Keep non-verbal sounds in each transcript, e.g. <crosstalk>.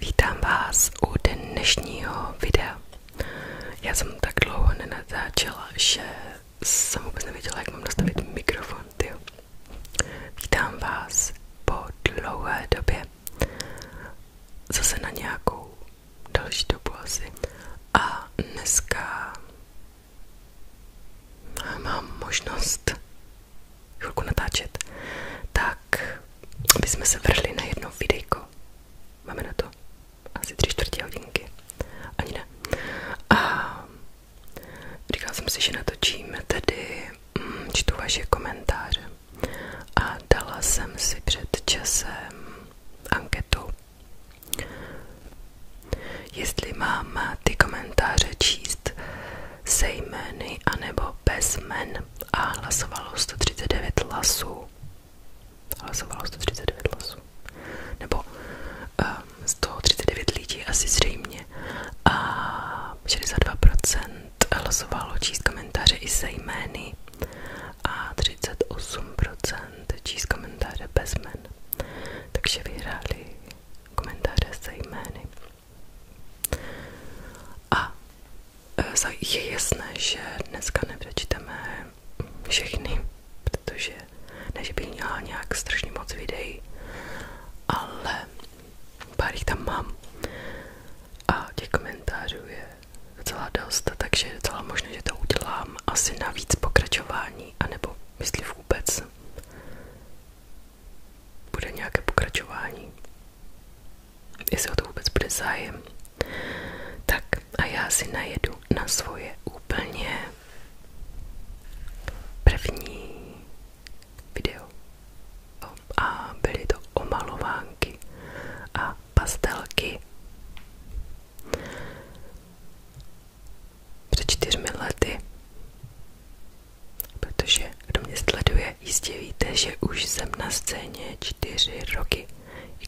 Vítám vás u dnešního videa. Já jsem tak dlouho nenatáčela, že jsem vůbec nevěděla, jak mám nastavit mikrofon. Tyjo. Vítám vás po dlouhé době. Zase na nějakou další dobu asi. A dneska mám možnost chvilku natáčet, tak bychom se vrhli na jedno videjko. Máme na to asi tři čtvrtě hodinky. Ani ne. A říkala jsem si, že natočím tedy mm, čtu vaše komentáře. A dala jsem si před časem anketu. Jestli mám ty komentáře číst se jmény anebo bez men a hlasovalo 139 hlasů. Hlasovalo 139 hlasů. Nebo uh, ehm, 139 lidí asi zřejmě. A 62% hlasovalo číst komentáře i se jmény a 38% číst komentáře bez men Takže vyhráli komentáře se jmény. A e, je jasné, že dneska nepřečteme všechny, protože ne, že bych měla nějak strašně moc videí, ale pár jich tam mám a těch komentářů je docela dost, takže je docela možné, že to udělám asi navíc pokračování, anebo myslím vůbec bude nějaké pokračování. Jestli o to vůbec bude zájem. Tak a já si najedu na svoje úplně první video. A byly to omalovánky a pastelky před čtyřmi lety. Protože kdo mě sleduje, jistě víte, že už jsem na scéně čtyři roky,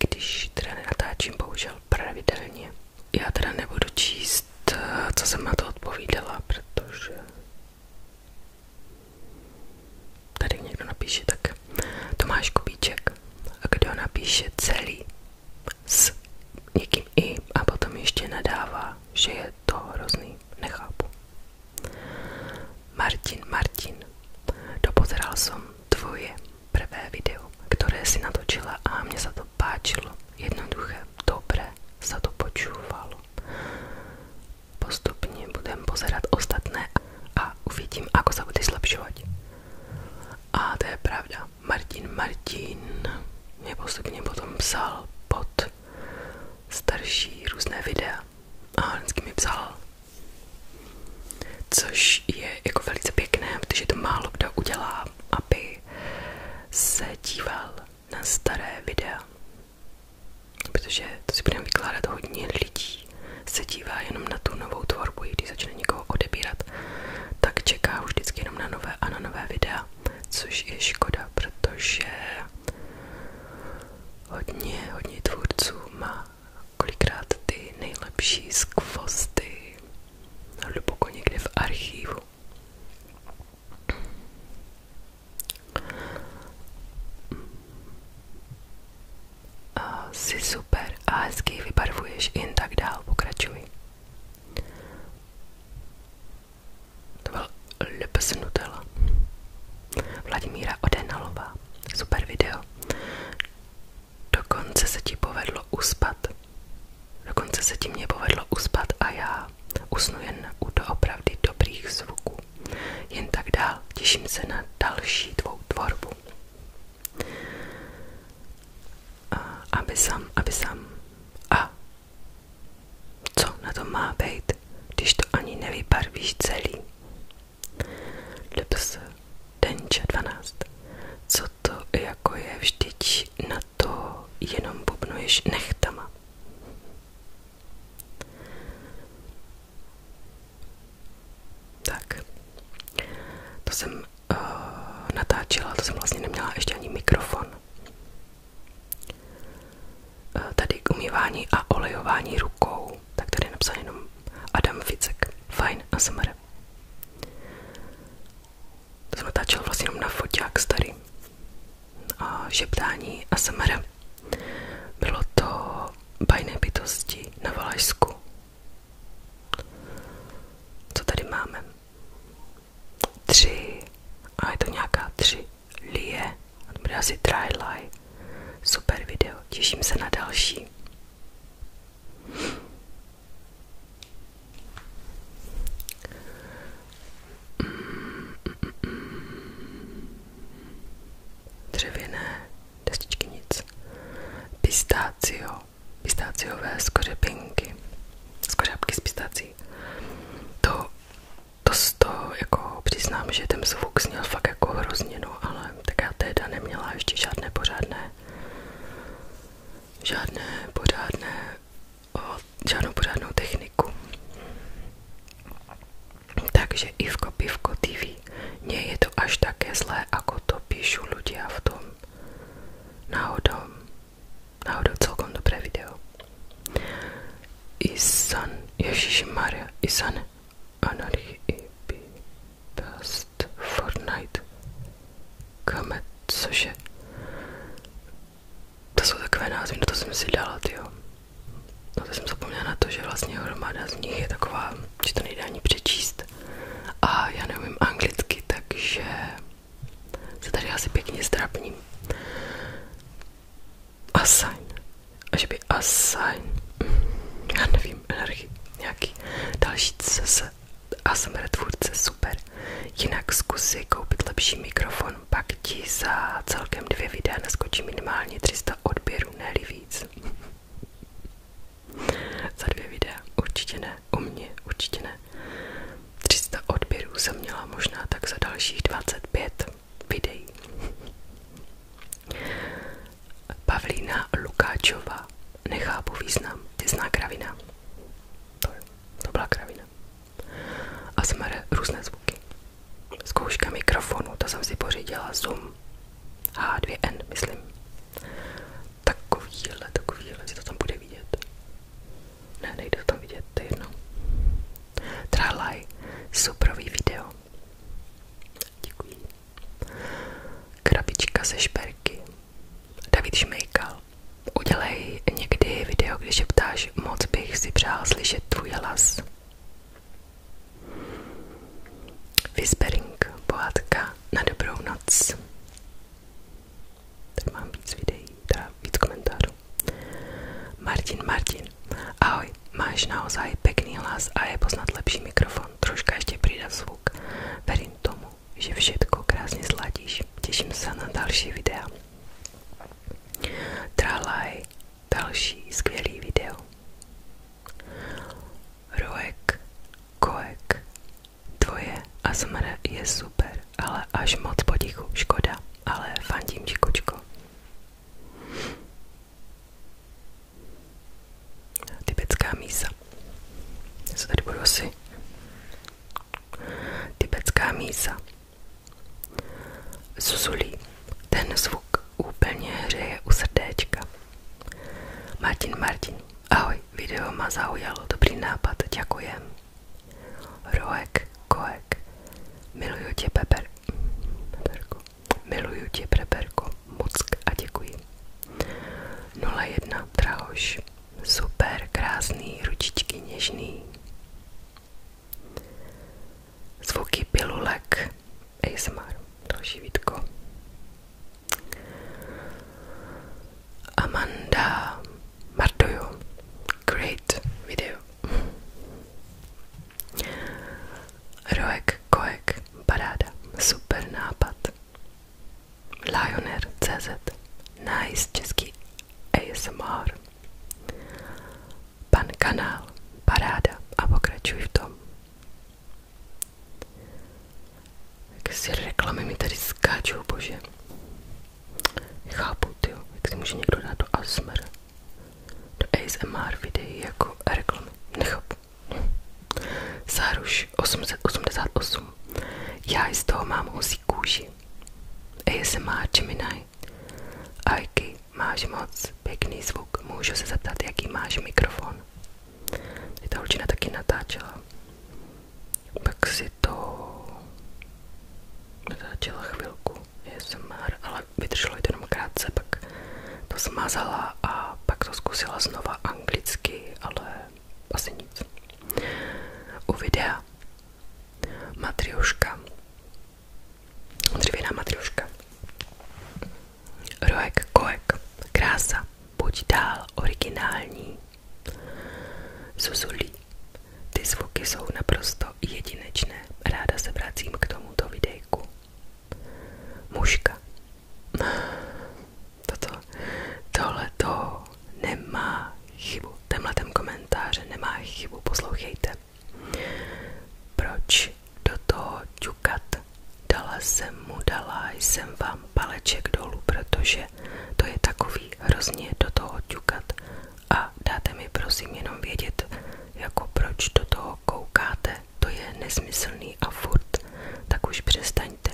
když teda nenatáčím bohužel pravidelně. Já teda nebudu číst, co jsem odpovídala, protože tady někdo napíše tak Tomáš Kubíček a kdo napíše celý s někým i a potom nadává že je to hrozný. Nechápu. Martin, Martin, dopozeral som tvoje prvé video, ktoré si natočila a mne sa to páčilo. Jednoduché, dobré sa to počúvalo. Postupne budem pozerať ostatné a uvidím, ako sa bude zlepšovať. A to je pravda. Martin, Martin mě postupně potom psal pod starší různé videa a vždycky mi psal. Což je jako velice pěkné, protože to málo kdo udělá, aby se díval na staré videa. Protože to si budeme vykládat hodně lidí. Se dívá jenom na tu novou tvorbu, i když začne někoho odebírat, tak čeká už vždycky jenom na nové a na nové videa což je škoda, protože hodně, hodně tvůrců má kolikrát ty nejlepší skvosty hluboko někde v archívu. A jsi super a hezky vybarvuješ jen tak dál, pokračuj to byl LPS Nutella Vladimíra Odenalová super video dokonce se ti povedlo uspat dokonce se ti mě povedlo uspat a já usnu jen u doopravdy dobrých zvuků jen tak dál těším se na další tvou tvorbu aby sám, aby sám a co na to má být, když to ani nevybarvíš celý? Dps, denče 12. Co to jako je vždyť na to jenom bubnuješ nechtama? Tak, to jsem uh, natáčela, to jsem vlastně neměla ještě ani mikrofon, Eh, tady k umývání a olejování rukou, tak tady je napsal jenom Adam Ficek. Fajn, ASMR. To jsem natáčel vlastně jenom na foťák starý. A šeptání ASMR. Bylo to bajné bytosti na Valašsku. Co tady máme? tři, a je to nějaká tři lie, a to bude asi Try Super video, těším se na další. Dřevěné destičky nic. Pistácio, pistáciové skořepinky, skořápky z pistací. To to z toho jako přiznám, že ten zvuk zněl fakt jako hrozně, no, ale tak já teda neměla ještě žádné pořádné, žádné pořádné, o, žádnou pořádnou techniku. Takže Ivko Pivko TV, mně je to až také zlé, ako to píšu ľudia v tom náhodom náhodou celkom dobré video. Isan, Maria, Isan, Anarchy, IP, Past, Fortnite, Kamet, cože? To jsou takové názvy, no to jsem si dala, jo. No to jsem zapomněla na to, že vlastně hromada z nich je taková, že to nejde ani přečíst. A já neumím anglicky, takže se tady asi pěkně zdrabním. Assign. A že by assign. Já nevím, energie. Nějaký další se ASMR tvůrce, super. Jinak zkus koupit lepší mikrofon, pak ti za celkem dvě videa naskočí minimálně 300 odběrů, ne víc. za dvě videa, určitě ne, u mě, určitě ne. 300 odběrů jsem měla možná tak za dalších 25 videí. Pavlína Lukáčová. Nechápu význam. Těsná kravina. To, to byla kravina. A smr různé zvuky. Zkouška mikrofonu, to jsem si pořídila Zoom H2N, myslím. Takovýhle, takovýhle, si to tam bude vidět. Ne, to vidět, to je jedno. Tralaj, video. Děkuji. Krabička ze šperky. David Šmejkal. Udělej někdy video, když ptáš, moc bych si přál slyšet tvůj hlas. Whispering, pohádka na dobrou noc. Tak mám víc videí dá víc komentářů. Martin, Martin, ahoj, máš naozaj pekný hlas a je poznat lepší mikrofon, troška ještě přidat zvuk. Verím tomu, že všetko krásně sladíš. Těším se na další videa. Tralaj, další skvělý video. Roek, koek, tvoje a je super, ale až moc potichu, škoda ale fandím ti, kočko. Tibetská mísa. Já se tady budu asi. Tibetská mísa. Zuzulí. Ten zvuk úplně hřeje u srdéčka. Martin Martin. Ahoj, video ma zaujalo. Dobrý nápad, děkujem. Roek, koek, miluju tě beber, beberko, miluju tě beberko, muck a děkuji. 01 drahoš, super, krásný, ručičky něžný. Zvuky pilulek, ASMR, další vítko. Amanda, Marduju. Great video. Roek, koek, paráda, super nápad. Lioner.cz Nice český ASMR. Pan kanál, paráda a pokračuj v tom. Jak si reklamy mi tady skáčou, bože. Chápu, tyjo, jak si někdo dát do ASMR, do ASMR videí jako reklamy, nechápu. Sáruš 888, já z toho mám husí kůži. ASMR Gemini, Aiky, máš moc pěkný zvuk, můžu se zeptat, jaký máš mikrofon. Tady ta taky natáčela. Pak si to natáčela chvilku. ASMR, ale vydrželo jenom krátce, pak to smazala a pak to zkusila znova anglicky, ale asi nic. U videa dřevěná matrioška, Roek, koek, krása, buď dál originální, Zuzulí, ty zvuky jsou naprosto jedinečné. Ráda se vracím k tomuto videjku. Muška. Toto, tohle to nemá chybu. Tenhle ten komentář nemá chybu. Poslouchejte. Proč do toho ťukat? Dala jsem mu, dala jsem vám paleček dolů, protože to je takový hrozně do toho ťukat a dáte mi prosím jenom vědět, jako proč do toho koukáte, to je nesmyslný a furt, tak už přestaňte,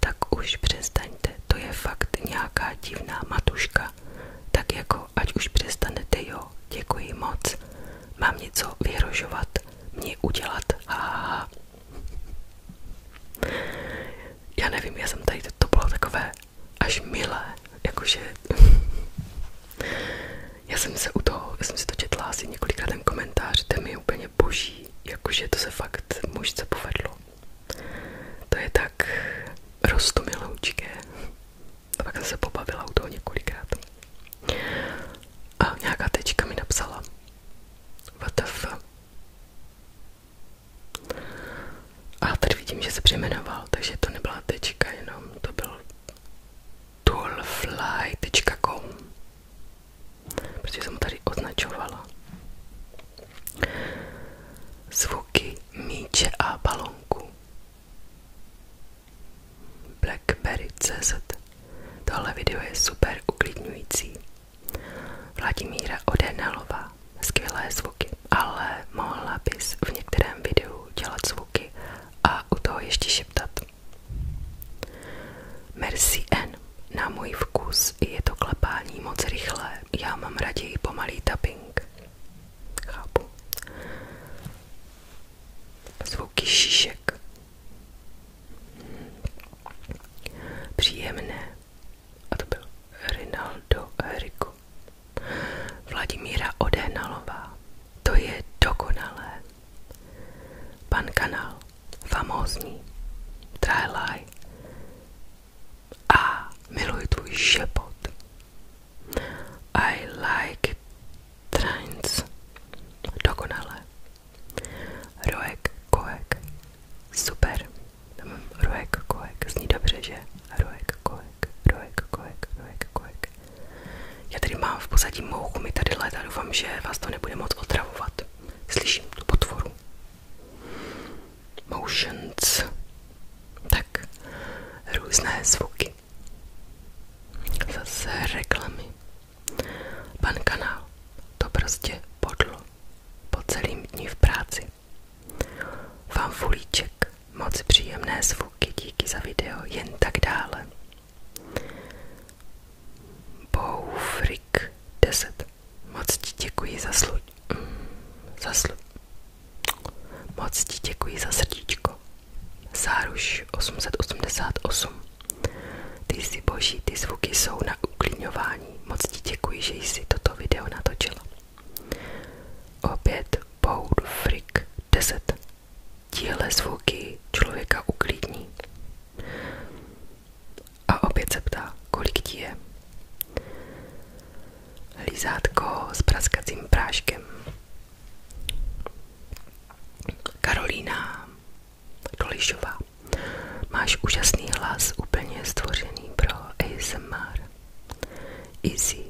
tak už přestaňte, to je fakt nějaká divná matuška, tak jako ať už přestanete, jo, děkuji moc, mám něco vyhrožovat, mě udělat, haha. Já nevím, já jsem tady, to bylo takové až milé, jakože já jsem se u toho, já jsem si to četla asi několikrát ten komentář, ten je úplně boží, jakože to se fakt mužce povedlo. To je tak rostomiloučké. A pak jsem se pobavila u toho několikrát. A nějaká tečka mi napsala. WTF. A tady vidím, že se přejmenoval, takže to nebyla tečka, jenom to byl toolfly.com protože jsem tady označovala. Zvuky míče a balonku. Blackberry.cz Tohle video je super uklidňující. Vladimíra Odenalová skvělé zvuky, ale mohla bys v některém videu dělat zvuky a u toho ještě šeptat. Merci N. Na můj vkus je to klepání moc rychlé, já mám raději pomalý tapping. Chápu. Zvuky šišek. Příjemné. A to byl Rinaldo Rico. Vladimíra Odehnalová. To je dokonalé. Pan Kanál. Famózní. Trajlaj. A miluji tvůj šepot. I like trance. Dokonalé. Roek Koek. Super. Roek Koek. Zní dobře, že? Roek Koek. Kojek, Rojek, Kojek, Rojek, Já tady mám v pozadí mouchu, mi tady léta, doufám, že vás to nebude moc otravovat. Slyším tu potvoru. Motions. Tak, různé zvuky. Zase reklamy. Pan kanál, to prostě podlo. Po celým dní v práci. Fanfulíček, moc příjemné zvuky, díky za video, jen tak dále. Boufrik 10. Moc ti děkuji za slu... Mm, za slu... Moc ti děkuji za srdíčko. Záruš 888. Ty jsi boží, ty zvuky jsou na uklíňování, Moc ti děkuji, že jsi toto video natočila. Opět Pound Frick 10. zvuky člověka uklidní. A opět se ptá, je. Lízátko s praskacím práškem. Karolína Dolišová. Máš úžasný hlas, úplně stvořený pro ASMR. Easy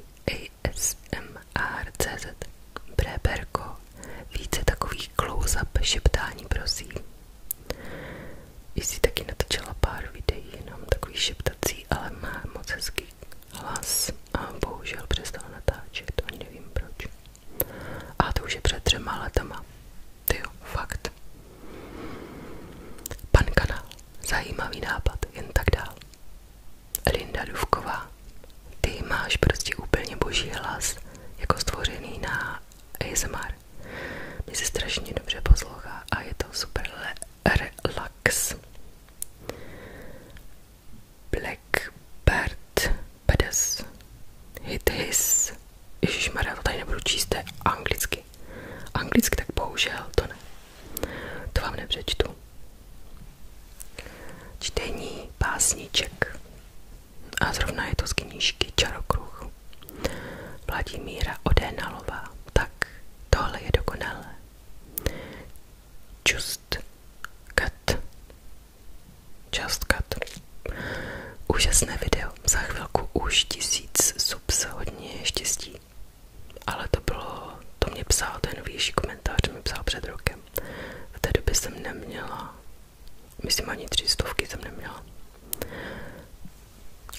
ASMR.cz Bréberko, více takových close-up šeptání prosím. Jsi taky natočila pár videí, jenom takový šeptací, ale má moc hezký hlas a bohužel přestala natáčet, ani nevím proč. A to už je před třema letama. Ty jo, fakt. Pan kanál, zajímavý nápad, jen tak dál. Linda Duvková, ty máš prostě úplně boží hlas, jako stvořený na ASMR. Mně se strašně dobře poslouchá a je to super relax. Blackbird Pedes Hit His Ježišmarja, to tady nebudu číst, anglicky. Anglicky tak bohužel to ne. To vám nepřečtu. Čtení pásniček. A zrovna je to z knížky Čarokruh. Vladimíra Odénalová. Tak, tohle je dokonalé. Just cut. Just cut. Úžasné video. Za chvilku už tisíc sub hodně štěstí ale to bylo, to mě psal ten výšší komentář, mi psal před rokem. V té době jsem neměla, myslím ani tři stovky jsem neměla.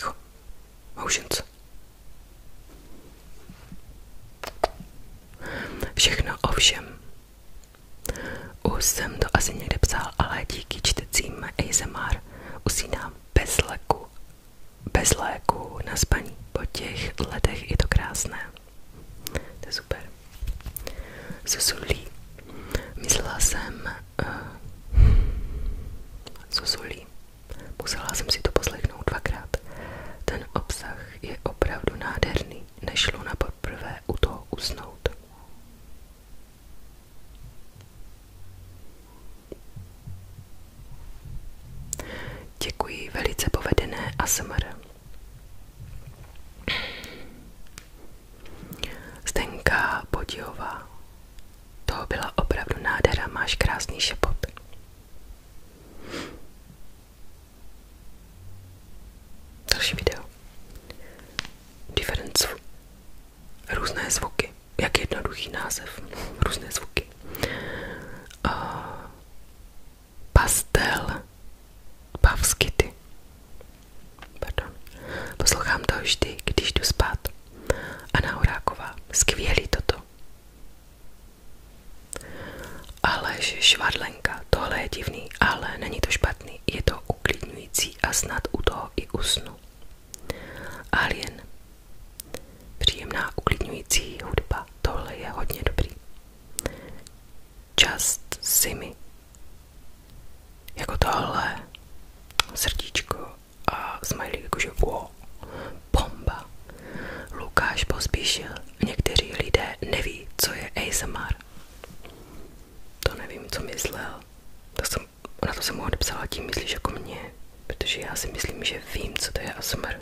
Jo, houšince. Všechno ovšem. Už jsem to asi někde psal, ale díky čtecím ASMR usínám bez leku bez léku na spaní. Po těch letech je to krásné. To je super. Susulí. Myslela jsem uh, eh, Susulí. Musela jsem si to poslechnout dvakrát. Ten obsah je opravdu nádherný. Nešlo na poprvé u toho usnout. Děkuji, velice povedené ASMR. Zdenka Podíhová. To byla opravdu nádhera, máš krásný šepot. Další video. Difference. Různé zvuky. Jak jednoduchý název. Různé zvuky pastel pavskity. Pardon. Poslouchám to vždy, když jdu spát. Anna Horáková, skvělý toto. Aleš Švadlenka, tohle je divný, ale není to špatný, je to uklidňující a snad u toho i usnu. Alien, Příjemná, uklidňující hudba, tohle je hodně dobrý. Just Simi. Jako tohle srdíčko a smiley jakože wow, bomba. Lukáš pospíšil, někteří lidé neví, co je ASMR. To nevím, co myslel. To jsem, na to jsem mu odepsala, tím myslíš jako mě, protože já si myslím, že vím, co to je ASMR.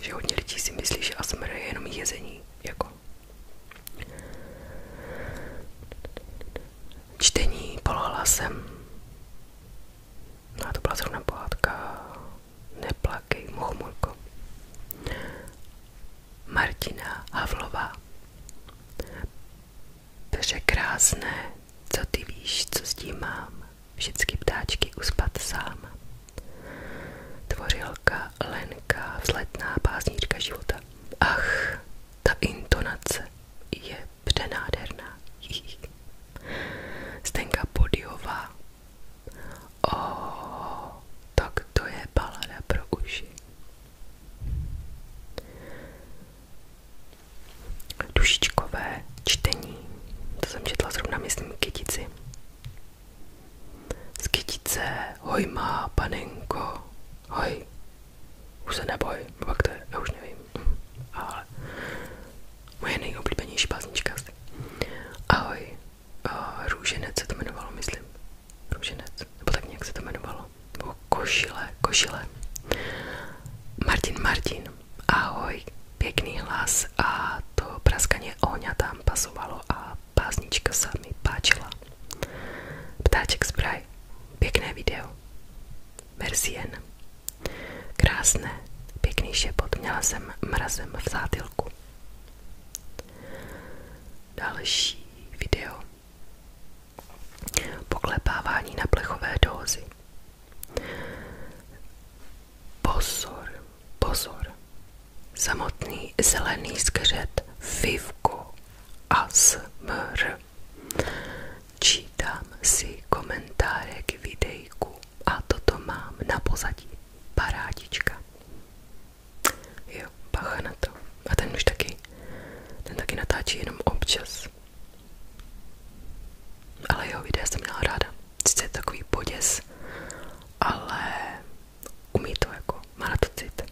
Že hodně lidí si myslí, že ASMR je jenom jezení, jako. Čtení polohlasem. No a to byla zrovna pohádka. Neplakej, mochomulko. Martina Havlová. krásné, co ty víš, co s tím mám. Všechny ptáčky uspat sám. Tvořilka, lenka, vzletná básnička života. Ach, ta intonace je přenádherná. Stenka <laughs> Podiová. O, tak to je balada pro uši. Dušičkové čtení. To jsem četla zrovna, myslím, kytici. Z kytice, hoj panenko, hoj. Už se neboj, pak nevím. Ale moje nejoblíbenější básnička asi. Ahoj, uh, růženec se to jmenovalo, myslím. Růženec, nebo tak nějak to jmenovalo. Nebo košile, košile. Martin, Martin ahoj, pěkný hlas a to praskaně ohňa tam pasovalo a pásnička se mi páčila. Ptáček spray, pěkné video. Merci Krásné, pěkný šepot, měla jsem mrazem v zátilku. Další video. Poklepávání na plechové dózy. Pozor, pozor. Samotný zelený skřet Vivko ASMR. Čítám si komentáře k videjku a toto mám na pozadí. Parádička. Jo, bacha na to. A ten už taky, ten taky natáčí jenom občas ale jeho videa jsem měla ráda. Sice je takový poděs, ale umí to jako, má na to cit.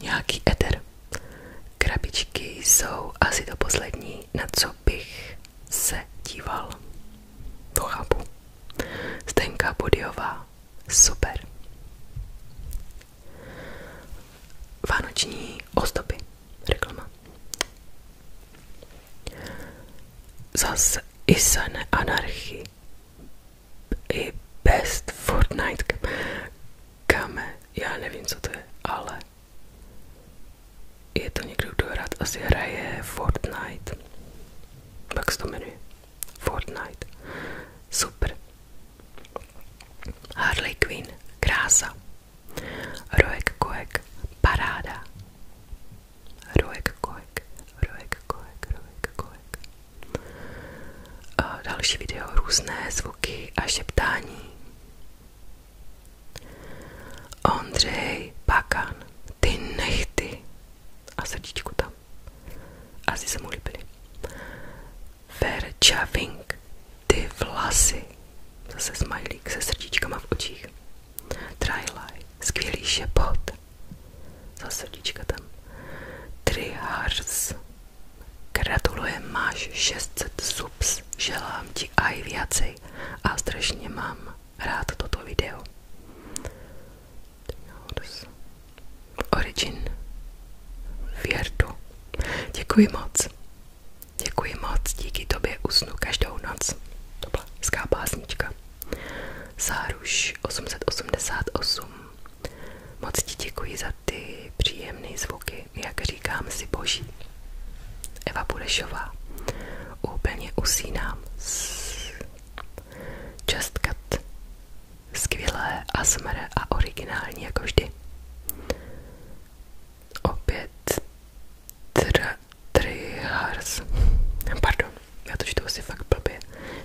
Nějaký eter. Krabičky jsou asi to poslední, na co bych se díval. To chápu. Zdenka Budyová. Super. Vánoční ozdobí, reklama. Zase i sané anarchy. I best Fortnite. Kame, já nevím, co to je, ale je to někdo, kdo rád asi hraje Fortnite. Jak se to jmenuje? Fortnite. Super. Harley Quinn. Krása. Roek Koek. Paráda. Roek kohek, roek kohek, roek kohek. A další video, různé zvuky a šeptání. Ondřej Pakan, ty nechty. A srdíčku tam. Asi se mu líbily. Verča Vink, ty vlasy. Zase smajlík se srdíčkama v očích. Trajlaj, skvělý šepot. Zase srdíčka tam. Trihars. Gratulujem, máš 600 subs, želám ti aj viacej a strašně mám rád toto video. Origin Věrdu. Děkuji moc. Děkuji moc, díky tobě usnu každou noc. To Polská básnička. Záruš 888. Moc ti děkuji za ty příjemné zvuky, jak říkám si boží. Eva Budešová. Úplně usínám. Just cut. Skvělé a smré a originální jako vždy. Opět tr, Trihars, pardon, já to čtu asi fakt blbě,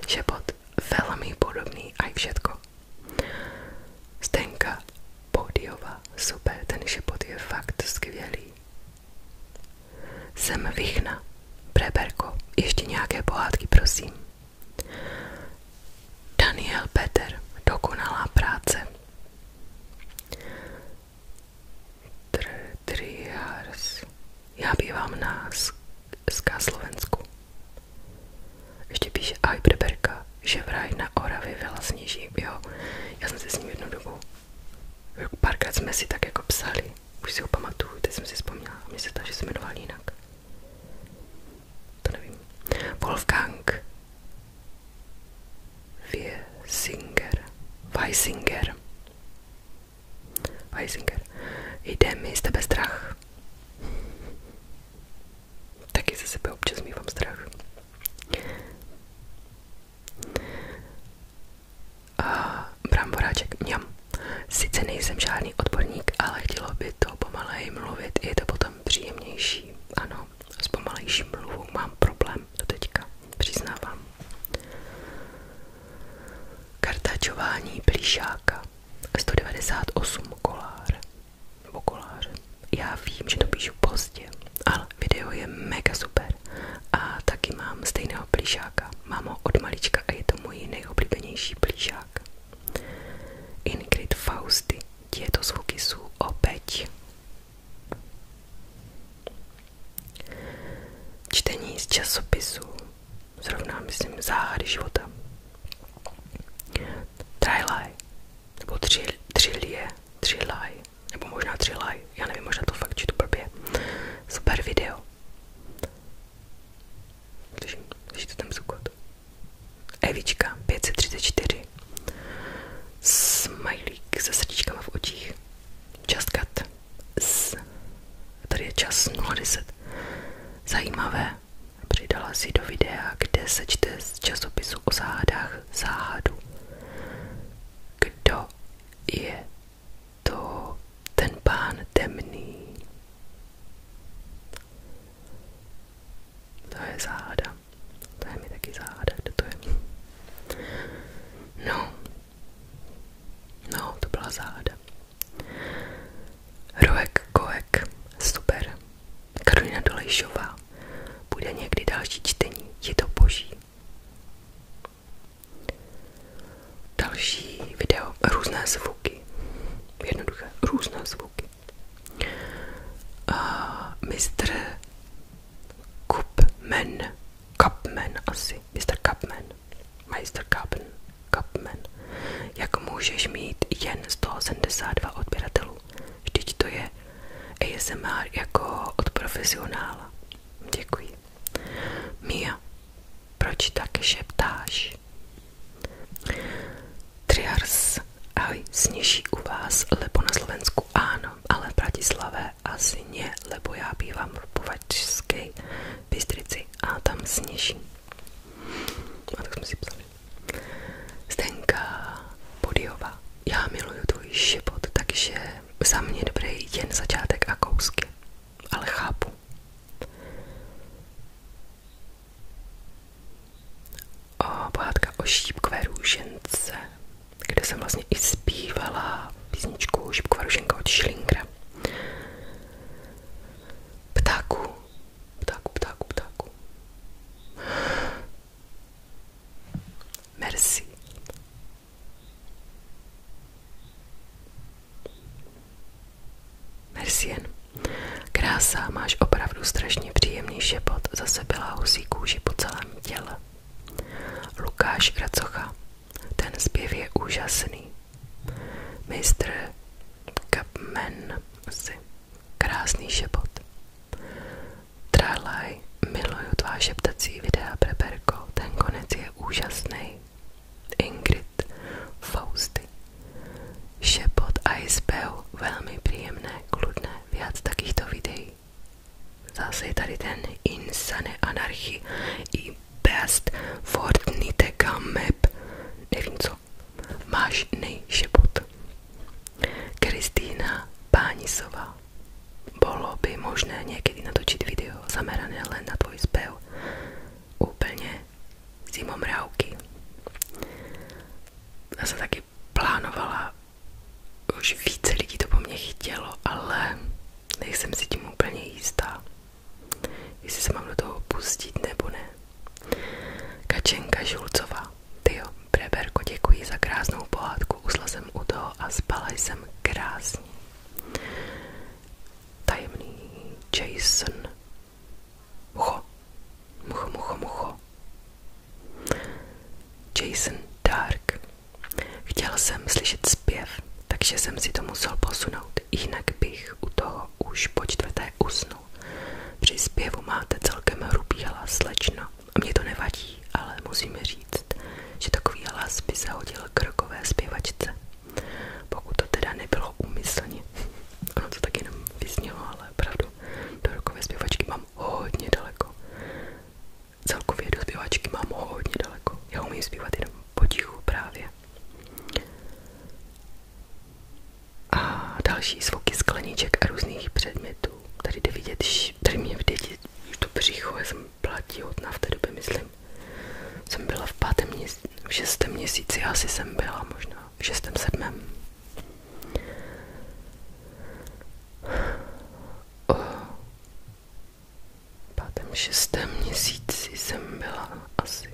šepot velmi podobný a i všetko. Stenka Podiova, super, ten šepot je fakt skvělý. Jsem Vichna, Preberko, ještě nějaké pohádky, prosím. Daniel Peter, dokonalá práce. Triars. Já bývám na Ská Slovensku. Ještě píše Ajberberka, že vraj na Oravě vela sněží. Jo, já jsem si s ním jednu dobu. Párkrát jsme si tak jako psali. Už si ho pamatuju, teď jsem si vzpomněla. Mně se ta, že se jmenoval jinak. To nevím. Wolfgang Wiesinger. Weisinger. Weisinger. Jde mi z tebe strach. Taky ze sebe občas mývám strach. A bramboráček, mňam. Sice nejsem žádný odborník, ale chtělo by to pomaleji mluvit, je to potom příjemnější. Ano, s pomalejší mluvou mám problém do teďka, přiznávám. Kartačování plíšáka 198 kolár nebo koláře. Já vím, že to píšu pozdě, ale video je mega super. A taky mám stejného plíšáka. Mám ho od malička a je to můj nejoblíbenější plíšák. Ingrid Fausty, je to zvuky jsou opäť Čtení z časopisu zrovna, myslím, záhady života. Trilaj, nebo tři tři tři laj, nebo možná tři laj. já nevím, možná to fakt čtu blbě. Super video. Slyším, slyšíte ten zukot? Evička 534. Smajlík se srdíčkama v očích časkat s, tady je čas 0,10, zajímavé, přidala si do videa, kde se čte z časopisu o záhadách záhadu. Kdo je to ten pán temný? To je záhada. To je mi taky záhada, kdo to je. No, No, to byla záhada. Roek Koek, super. Karolina Dolejšová. Bude někdy další čtení, je to boží. Další video, různé zvuky. Jednoduché, různé zvuky. A mistr Kupmen Kapmen, asi, Mr. Kapmen, Meister Kapman, Kapmen. Jak můžeš mít jen 172 odběratelů? Vždyť to je ASMR jako od profesionála. Děkuji. Mia, proč taky šeptáš? Triars, ahoj, sněží u vás, lebo na Slovensku ano, ale v Bratislave asi ne, lebo já bývám v Povačské Bystrici a tam sněží. A tak jsme si psali. Zdenka Bodyová. Já miluju tvůj život, takže za mě dobrý jen začátek a kousky. Ale chápu. O, pohádka kde jsem vlastně i zpívala písničku Šipku Varušenka od Schillingera. Ptáku, ptáku, ptáku, ptáku. Merci. Merci jen. Krása, máš opravdu strašně příjemný šepot, zase byla husí kůži po celém těle. Lukáš Racocha, ten zpěv je úžasný. Mistr Kapmen si krásný šepot. Tralaj, miluju tvá šeptací videa, Preberko, ten konec je úžasný. Ingrid, Fausty. Šepot a izbeu, velmi příjemné, kludné, viac takýchto videí. Zase je tady ten Insane Anarchy i Best Fortnite Map. Nevím co. Máš nejšebot. Kristýna Pánisová. Bolo by možné někdy natočit video zamerané len na tvoj zpěv. Úplně zimomrávky. Já se taky plánovala, už více lidí to po mně chtělo, ale nejsem si tím úplně jistá, jestli se mám do toho pustit nebo ne. Kačenka Žulcová, ty tyjo, Breberko, děkuji za krásnou pohádku, usla jsem u toho a spala jsem krásně. Tajemný Jason, mucho, mucho, mucho, mucho. Jason Dark, Chtěl jsem slyšet zpěv, takže jsem si to musel posunout, jinak bych u toho už po čtvrté usnul. Při zpěvu máte celkem hrubý hlas, slečno. mě to nevadí, ale musím říct, že takový hlas by se hodil k rokové zpěvačce. Pokud to teda nebylo úmyslně. <laughs> Ono to tak jenom vyznělo, ale pravdu, do rokové zpěvačky mám hodně daleko. Celkově do zpěvačky mám ho hodně daleko. Já umím zpívat jenom potichu právě. A další zvuky skleníček a různých předmětů. Tady jde vidět, tady mě vidět to břicho, já jsem platí hodná v té době, myslím. Jsem byla v pátém, v šestém měsíci, asi jsem byla možná v šestém, sedmém pátém, šestém měsíci jsem byla asi.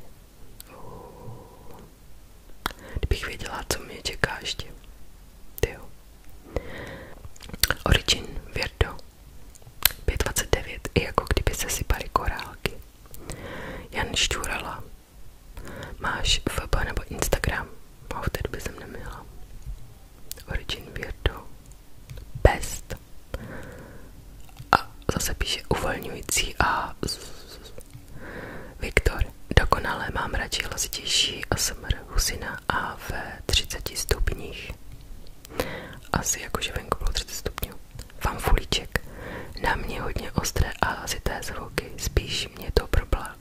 Oh. Kdybych věděla, co mě čeká ještě. Tyjo. Origin Virdo 529. I jako kdyby se sypaly korálky. Jan Šťurala. Máš FB nebo Instagram? No, v té době jsem neměla. Origin Weirdo, Best a zase píše uvolňující a Viktor, dokonale mám radši hlasitější a smr husina a ve 30 stupních asi jakože venku bylo 30 stupňů fanfulíček na mě hodně ostré a hlasité zvuky spíš mě to probla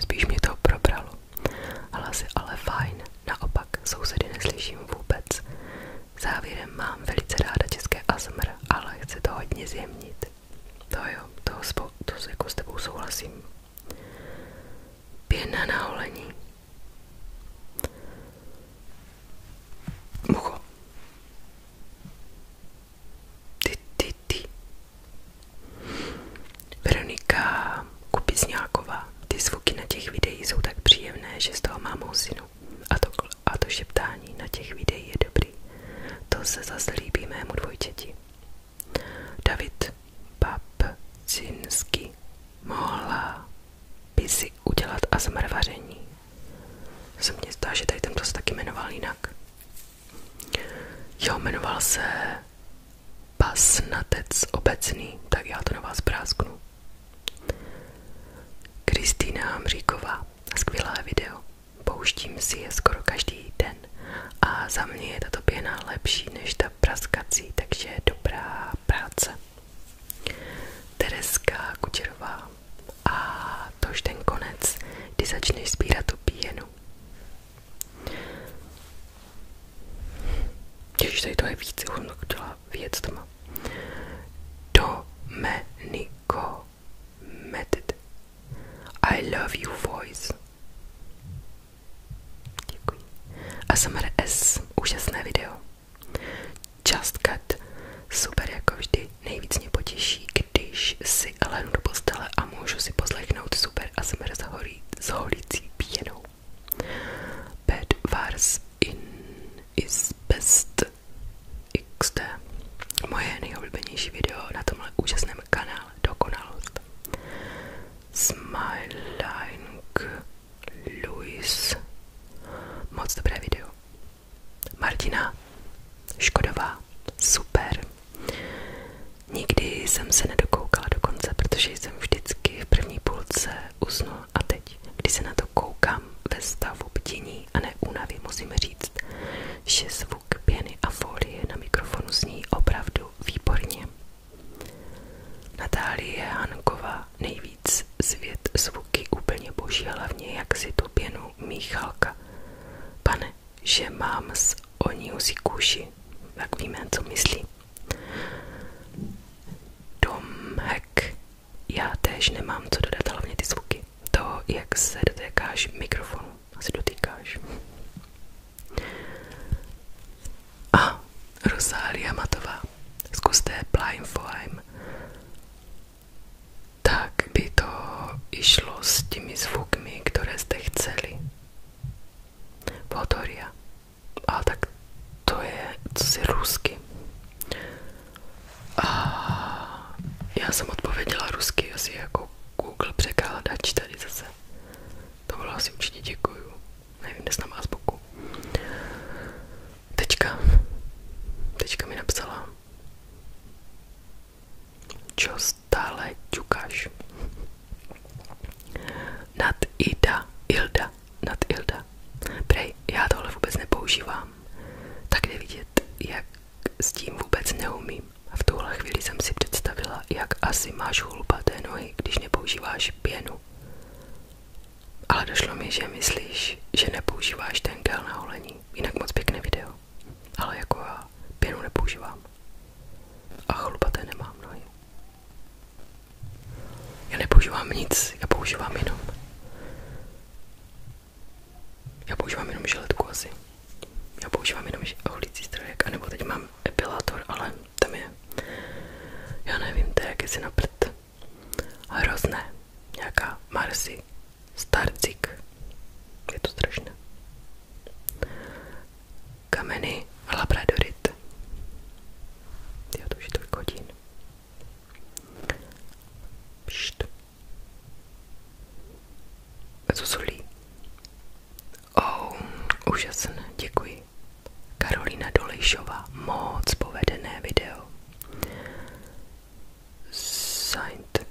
spíš mě to probralo hlasy ale fajn Naopak sousedy neslyším vůbec. Závěrem mám velice ráda české ASMR, ale chci to hodně zjemnit. To jo, toho spou to jako s tebou souhlasím. Pěna na holení. Mucho. Ty, ty, ty. Veronika Zdeňková Kupizňáková. Ty zvuky na těch videích jsou tak příjemné, že z mám husinu. A to, a to šeptání na těch videích je dobrý. To se zase líbí mému David Babcinský mohla by si udělat a zmrvaření. Se mně zdá, tady tento se taky jmenoval Jo, jmenoval se Pasnatec obecný, tak já to na vás brásknu. Kristýna Hamříková, skvělé video. Pouštím si je skoro každý den a za mě je tato pěna lepší než ta praskací, takže dobrá práce. Tereska Kučerová a tož ten konec, kdy začneš sbírat tu pěnu. Ježiš, tady to je víc, už jsem to chtěla věc tam. Method. I love you voice. Děkuji. ASMR S, úžasné video. Just cut. Super, jako vždy. Nejvíc když si lehnu do postele a můžu si poslechnout super A s, holí, s holící pěnou. Bed Wars in Moje nejoblíbenější video na tomhle úžasném kanále Dokonalost. Smiling Louis. Moc dobré video. Martina Škodová. Super. Nikdy jsem se nedokoukala do konce, protože jsem vždycky v první půlce usnul a teď, když se na to koukám ve stavu a neúnavy, musím říct, že zvuk pěny a folie na mikrofonu zní opravdu výborně. Natálie Hanková nejvíc svět zvuky úplně boží, hlavně jak si tu pěnu Michalka. Pane, že mám s oní si kůži, tak víme, co myslí. Domek. Já též nemám co dodat, hlavně ty zvuky. To, jak se dotékáš mikrofonu. Asi dotýkáš. A Rosália Matová. Zkuste Blind Flame. Tak by to išlo s těmi zvuky, které jste chceli. Podoria. A tak to je, co si A já jsem odpověděla rusky, asi jako Google překládač tady zase. To bylo asi určitě děkuju. Nevím, kde jsem vás boku. mi napsala. Čo stále ťukáš? Nad Ida, Ilda nad Ilda. Prej, já tohle vůbec nepoužívám. Tak je vidět, jak s tím vůbec neumím. A v tuhle chvíli jsem si představila, jak asi máš hlubaté nohy, když nepoužíváš pěnu. Ale došlo mi, že myslíš, že nepoužíváš ten gel na holení. Jinak moc pěkné video. Ale jako já pěnu nepoužívám. A chlupaté nemám nohy. Já nepoužívám nic, já používám jenom. Já používám jenom žiletku asi. Já používám jenom holící strojek, anebo teď mám epilátor, ale tam je. Já nevím, to je jak si na prd. Hrozné. Nějaká Marsi. Starcik. Je to strašné. Kameny Labradorit. Já to už je Pšt. Co solí? Oh, úžasné, děkuji. Karolina Dolejšová, moc povedené video. Saint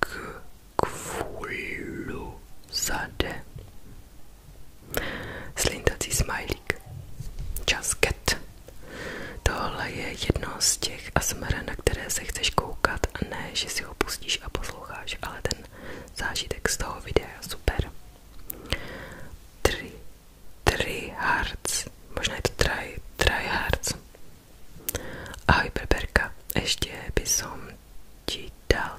k kvůlu zade. Slintací smajlík. Časket. Tohle je jedno z těch asmr, na které se chceš koukat a si ho pustíš a posloucháš, ale ten zážitek z toho videa super. 3. 3 hearts. Možná je to 3 hearts. Ahoj, Ještě by som ti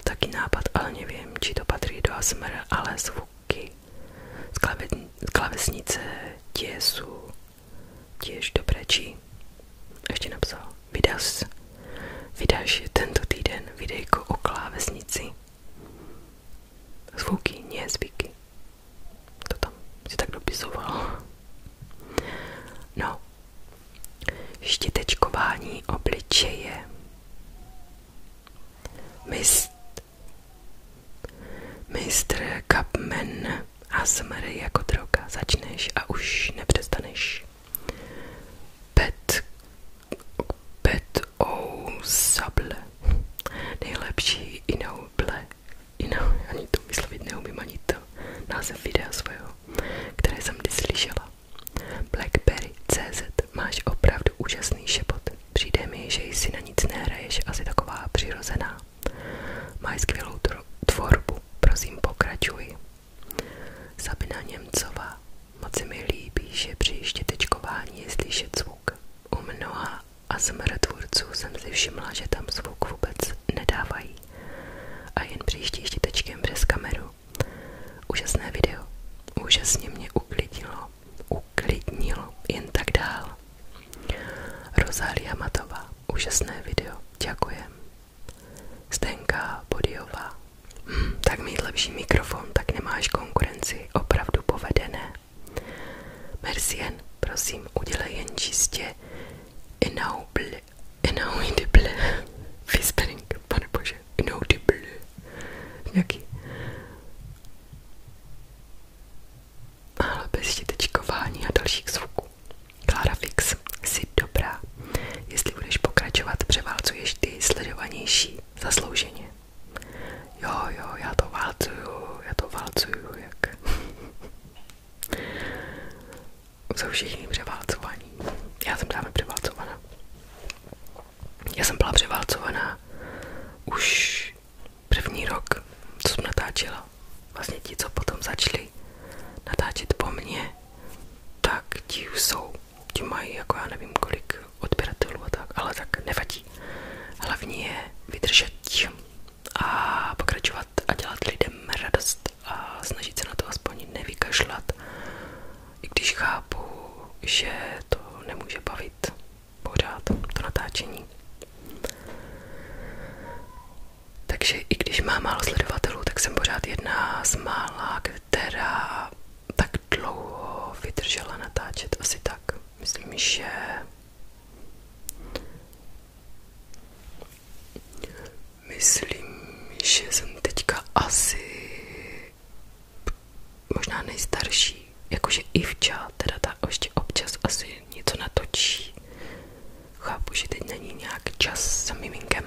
taky nápad, ale nevím, či to do ASMR, ale zvuky z, klave, z klavesnice Tiesu tiež dobrečí. Ještě napsal. Vydáš, vydáš tento týden videjko o klávesnici. Zvuky, nie zvyky. To tam si tak dopisoval. No. Štitečkování obličeje. Mist Mistr Kapman ASMR jako droga. Začneš a už nepřestaneš. Pet, pet o sable. Nejlepší inou Inou, ani to vyslovit neumím ani to. Název videa svého, které jsem kdy Blackberry CZ máš opravdu úžasný šepot. Přijde mi, že jsi na nic nehraješ, asi taková přirozená. Máš skvělou tvorbu, prosím pokračuj. Sabina Němcová, moc se mi líbí, že při štětečkování je slyšet zvuk. U mnoha a tvůrců jsem si všimla, že tam zvuk vůbec nedávají. A jen příští štětečkem přes kameru. Úžasné video. Úžasně mě uklidilo uklidnil jen tak dál. Rozália Matová, úžasné video, děkujem. Zdenka Bodiová, hm, tak mít lepší mikrofon, tak nemáš konkurenci, opravdu povedené. Mercien, prosím, udělej jen čistě inaudible, inaudible, whispering, pane bože, inaudible, nějaký ale bez štětečkování a dalších zvuků. Klára Fix, jsi dobrá. Jestli budeš pokračovat, převálcuješ ty sledovanější zaslouženě. Jo, jo, já to válcuju, já to válcuju, jak... <laughs> Jsou všichni převálcovaní. Já jsem právě převálcovaná. Já jsem byla převálcovaná už první rok, co jsem natáčela, vlastně ti, co potom začali natáčet po mně, tak ti už jsou, ti mají jako já nevím kolik odběratelů a tak, ale tak nevadí. Hlavní je vydržet a pokračovat a dělat lidem radost a snažit se na to aspoň nevykašlat, i když chápu, že to nemůže bavit pořád to natáčení. Takže i když mám málo sledovatelů, tak jsem pořád jedna z mála, která tak dlouho vydržela natáčet asi tak. Myslím, že myslím, že jsem teďka asi možná nejstarší, jakože i Ivča, teda ta ještě občas asi něco natočí. Chápu, že teď není nějak čas za miminkem,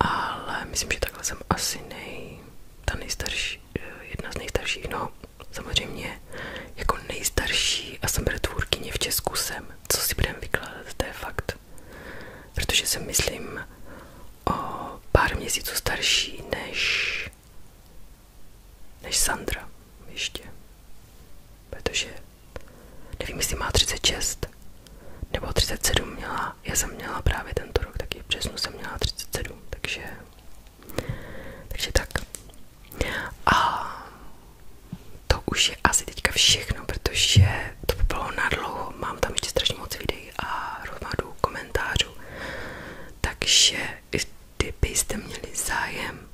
ale myslím, že takhle jsem asi nej, ta nejstarší, eh, jedna z nejstarších, no samozřejmě jako nejstarší a jsem tvůrkyně v Česku jsem, co si budeme vykládat, to je fakt. Protože jsem myslím o pár měsíců starší než než Sandra ještě. Protože nevím, jestli má 36 nebo 37 měla, já jsem měla právě tento rok, taky v březnu jsem měla 37, takže, takže tak. A to už je asi teďka všechno, protože to by bylo nadlouho, mám tam ještě strašně moc videí a hromadu komentářů, takže kdybyste měli zájem,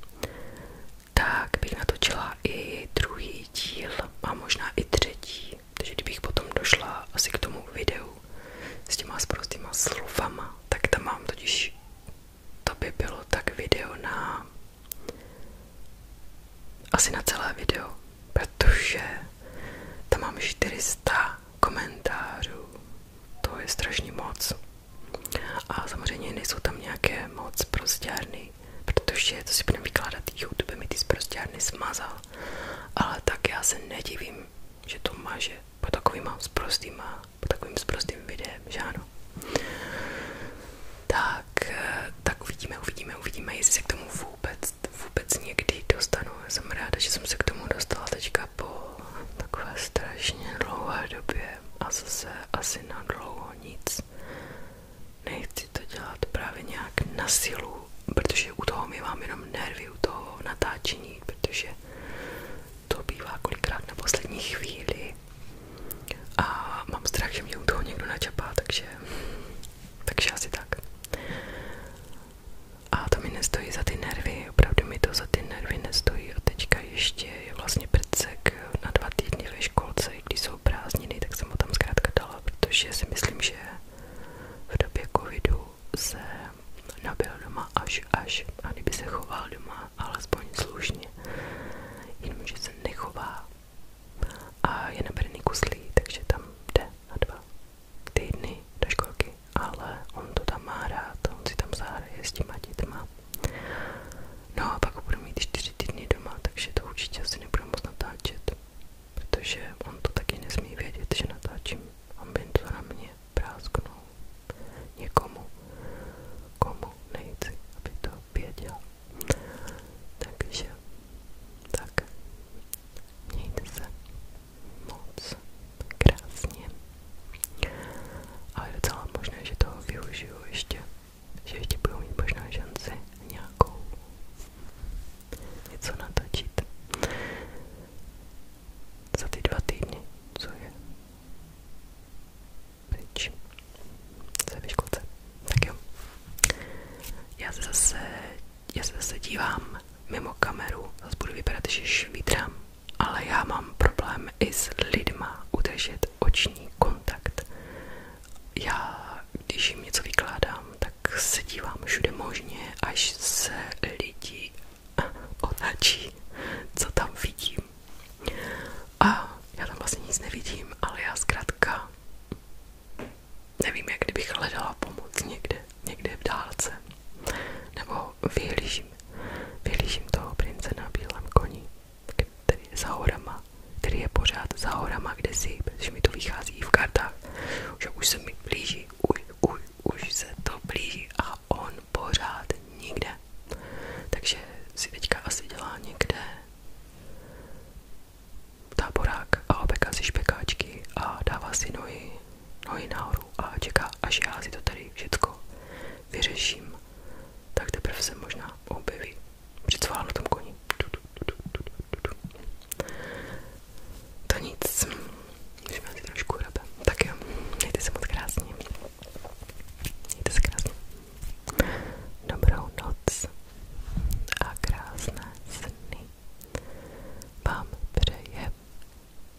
tak bych natočila i druhý díl a možná i třetí. Takže kdybych potom došla asi k tomu videu s těma sprostýma slovama, tak tam mám totiž, to by bylo tak video na asi na celé video, protože tam mám 400 komentářů. To je strašně moc. A samozřejmě nejsou tam nějaké moc prostěrny, protože to si budeme vykládat, YouTube mi ty prostěrny smazal. Ale tak já se nedivím, že to maže po takovýma zprostýma, po takovým zprostým videem, že ano. Tak, eh, tak uvidíme, uvidíme, uvidíme, jestli se k tomu vůbec, vůbec někdy dostanu. Jsem ráda, že jsem se k tomu dostala teďka po takové strašně dlouhé době a zase asi na dlouho nic. Nechci to dělat právě nějak na sílu, protože u toho mi mám jenom nervy, u toho natáčení, protože to bývá kolikrát na poslední chvíli a mám strach, že mě u toho někdo načapá, takže, takže asi tak. A to mi nestojí za ty nervy, opravdu mi to za ty nervy nestojí. A teďka ještě je vlastně prcek na dva týdny ve školce, když jsou prázdniny, tak jsem ho tam zkrátka dala, protože si myslím, že v době covidu se nabil doma až až a kdyby se choval doma, alespoň slušně, jenomže se nechová a je nabrný kuslí, takže tam jde na dva týdny do školky ale on to tam má rád, on si tam zahraje s těma dětma. No a pak ho budu mít 4 týdny doma, takže to určitě asi nebudu moc natáčet, protože on to taky nesmí vědět, že natáčím. On by to na mě prásknul někomu, komu nejci, aby to věděl. Takže, tak, mějte se moc krásně. Ale je docela možné, že toho využiju ještě, ještě budu mít možná šanci nějakou něco natočit za ty dva týdny, co je pryč se ve školce. Tak jo. Já se já se zase dívám mimo kameru, zase budu vypadat, že švítrám ale já mám problém i s lidma udržet oční kontakt. Já, když jim něco vykládám, tak se dívám všude možně, až se lidi otáčí, co tam vidím. A já tam vlastně nic nevidím, ale já zkrátka nevím, jak kdybych hledala pomoc někde, někde v dálce. Nebo toho vyhlížím. Vyhlížím toho prince na bílém koni, který je za horama, který je pořád za horama, kde si, protože mi to vychází i v kartách, že už se mi blíží, už, už, už se to blíží a on pořád nikde. Takže si teďka asi dělá někde táborák a obeká si špekáčky a dává si nohy nohy nahoru a čeká, až já si to tady všechno vyřeším, tak teprve se možná objeví. Přicválám na tom koni. To nic. Můžeme si trošku hrabe. Tak jo, mějte se moc krásně. Mějte se krásně. Dobrou noc a krásné sny vám přeje